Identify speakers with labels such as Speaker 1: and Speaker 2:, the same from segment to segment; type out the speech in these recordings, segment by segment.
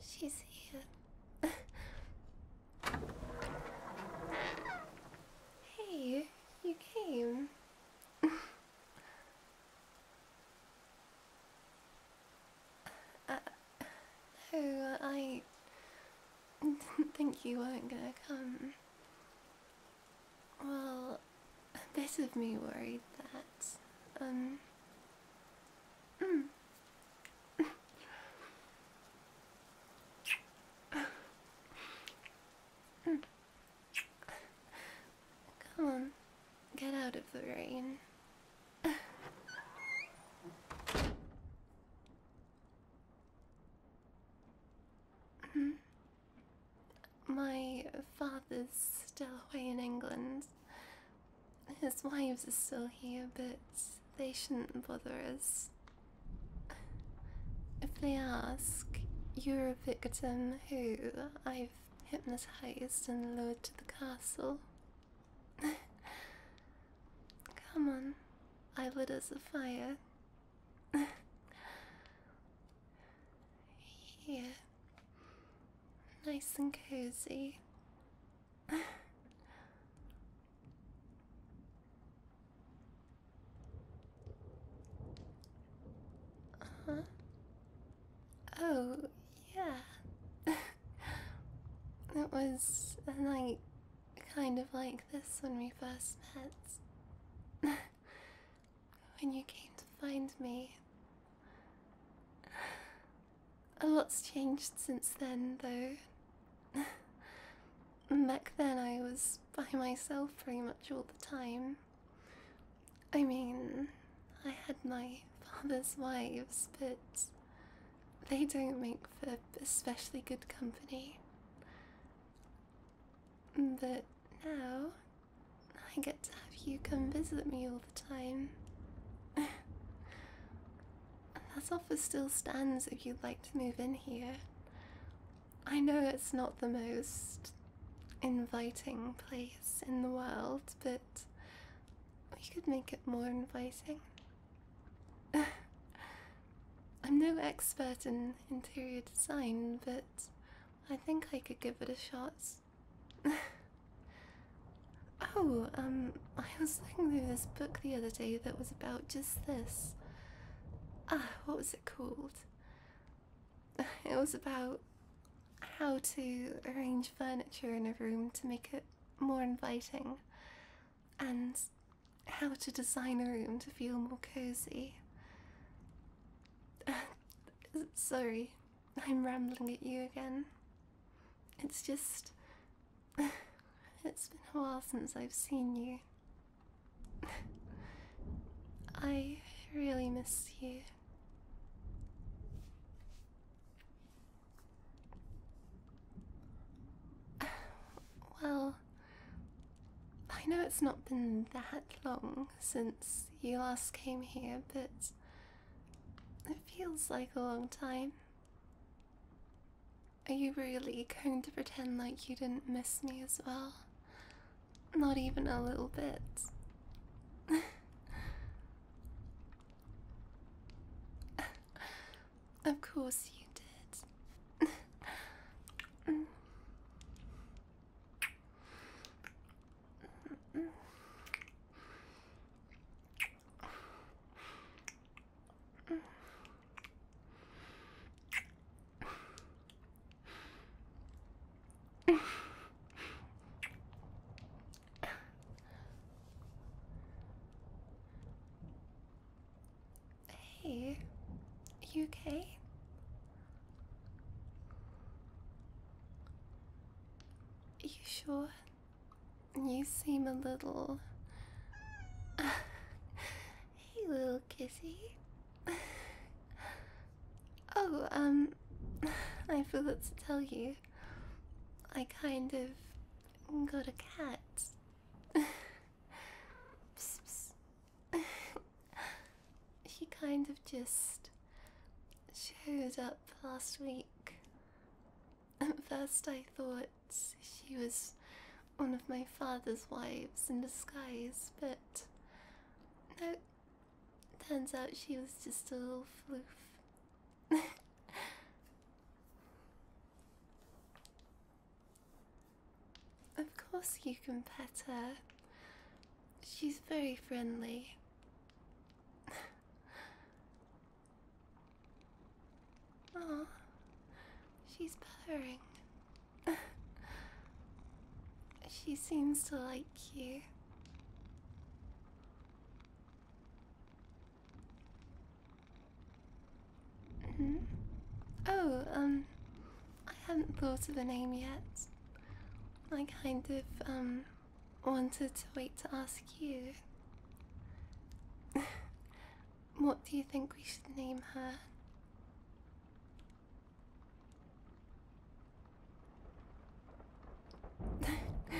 Speaker 1: She's here. hey, you came. no, uh, I didn't think you weren't gonna come. Well, a bit of me worried that, um. Hmm. Come on, get out of the rain. Mm-hmm. My father's still away in England. His wives are still here, but they shouldn't bother us. If they ask, you're a victim who I've hypnotized and lured to the castle. Come on, I lit us a fire here. Nice and cozy. Uh -huh. Oh, yeah. that was like kind of like this when we first met. when you came to find me. A lot's changed since then, though. Back then, I was by myself pretty much all the time. I mean, I had my father's wives, but they don't make for especially good company. But now, I get to have you come visit me all the time. that offer still stands if you'd like to move in here. I know it's not the most inviting place in the world, but we could make it more inviting. I'm no expert in interior design, but I think I could give it a shot. oh, um, I was looking through this book the other day that was about just this. Ah, what was it called? It was about how to arrange furniture in a room to make it more inviting and how to design a room to feel more cozy. Sorry, I'm rambling at you again. It's just. It's been a while since I've seen you. I really miss you. Well, I know it's not been that long since you last came here, but it feels like a long time. Are you really going to pretend like you didn't miss me as well? Not even a little bit. Of course you did. Hey, you okay? Are You sure? You seem a little. hey, little kissy. oh, um, I forgot to tell you. I kind of got a cat psst, psst. kind of just showed up last week. At first, I thought she was one of my father's wives in disguise, but no, turns out she was just a little floof. Of course, you can pet her. She's very friendly. Aw, she's purring. she seems to like you. Mm-hmm. Oh, um, I haven't thought of a name yet. I kind of, um, wanted to wait to ask you. what do you think we should name her?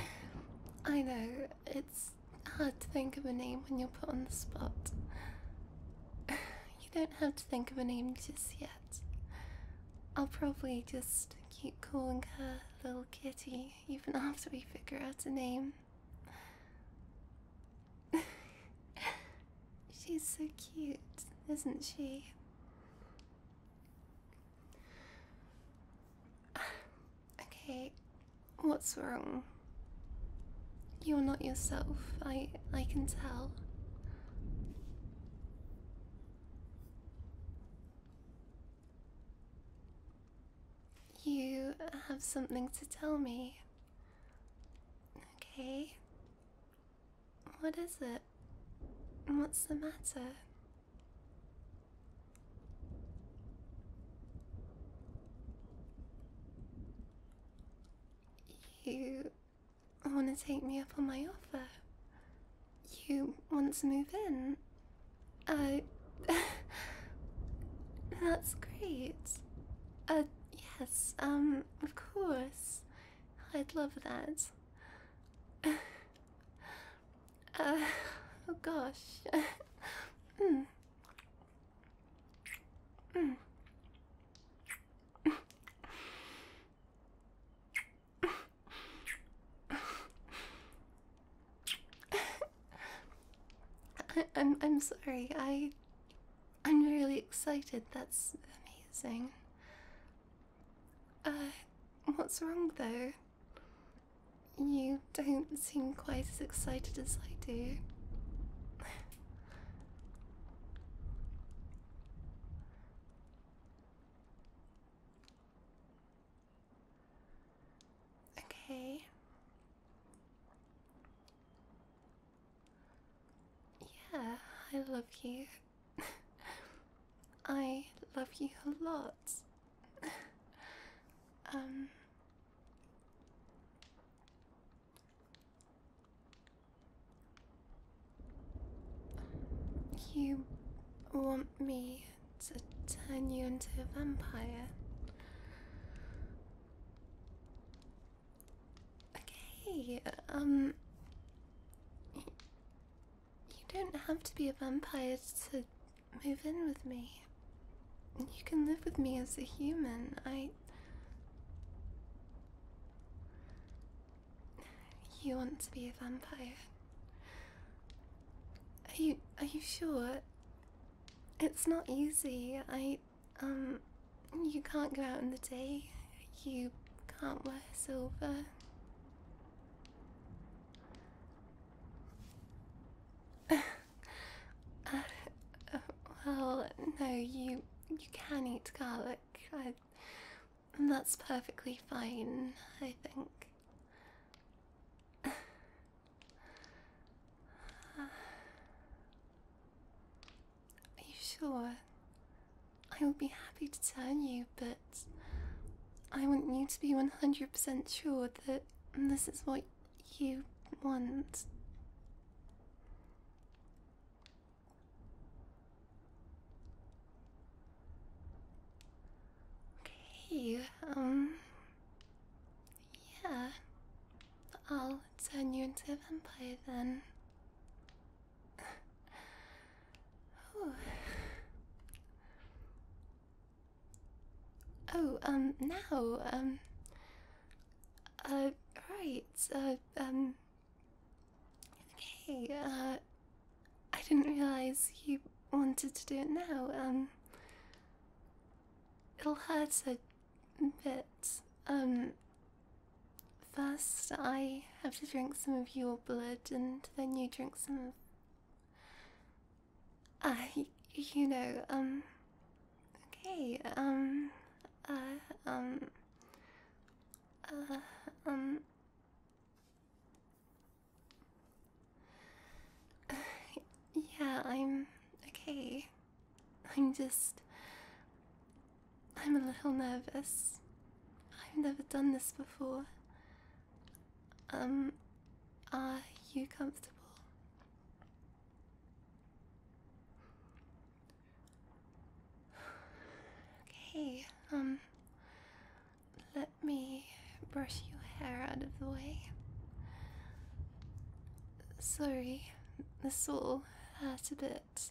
Speaker 1: I know, it's hard to think of a name when you're put on the spot. you don't have to think of a name just yet. I'll probably just keep calling her Little Kitty even after we figure out a name. She's so cute, isn't she? Okay, what's wrong? You're not yourself. I I can tell. You have something to tell me. Okay. What is it? What's the matter? You want to take me up on my offer? You want to move in? Uh, that's great. Uh, yes, um, of course. I'd love that. uh, oh gosh. mm. Mm. I, I'm I'm sorry. I I'm really excited. That's amazing. Uh, what's wrong though? You don't seem quite as excited as I do. okay. Yeah, I love you. I love you a lot. um, you want me to turn you into a vampire? Okay, um. You don't have to be a vampire to move in with me. You can live with me as a human. I. You want to be a vampire? Are you are you sure? It's not easy. I um you can't go out in the day. You can't wear silver. Uh, uh, well, no, you you can eat garlic. and that's perfectly fine, I think. Are you sure? I would be happy to tell you, but I want you to be 100% sure that this is what you want. Okay, um, yeah, I'll turn you into a vampire then. Oh, um, now, um, uh, right, uh, um, okay, uh, I didn't realize you wanted to do it now, um, it'll hurt a bit, um, first I have to drink some of your blood and then you drink some of uh, you know, um, okay, um, uh, um, uh, um, yeah, I'm okay. I'm just. I'm a little nervous. I've never done this before. Um, are you comfortable? Okay, um, let me brush your hair out of the way. Sorry, this will hurt a bit.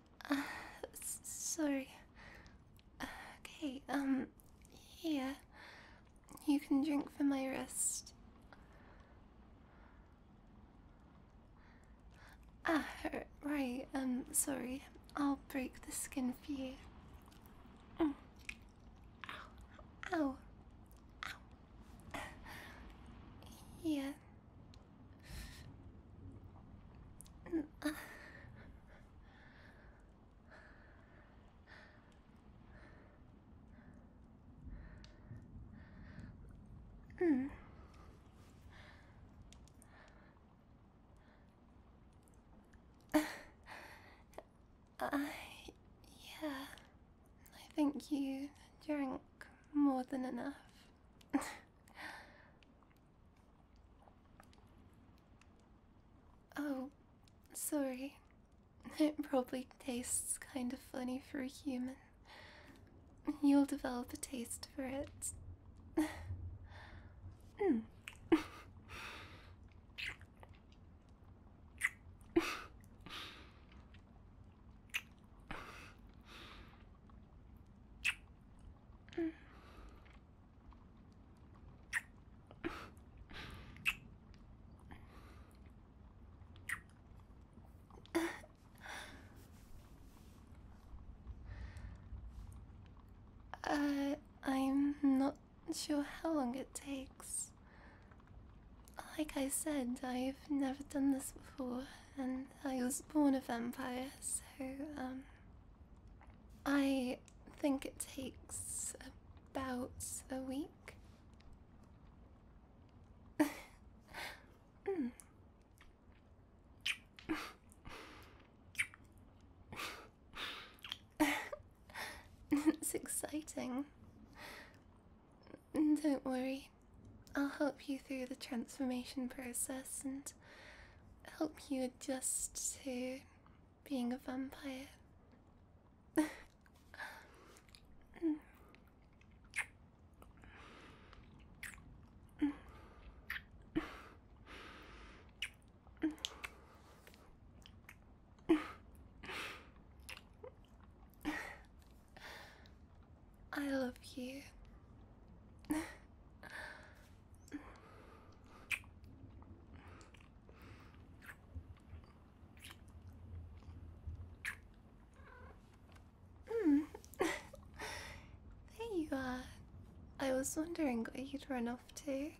Speaker 1: Uh, sorry. Okay, um, here. You can drink for my rest. Ah, right, um, sorry. I'll break the skin for you. Mm. Ow. Ow. Ow. yeah. Mm. Uh, uh, yeah, I think you drank more than enough. Oh, sorry. It probably tastes kind of funny for a human. You'll develop a taste for it. Uh, I'm not sure how long it takes. Like I said, I've never done this before, and I was born a vampire, so, um, I think it takes about a week. Mm. it's exciting. Don't worry, I'll help you through the transformation process and help you adjust to being a vampire. I love you. there you are. I was wondering where you'd run off to.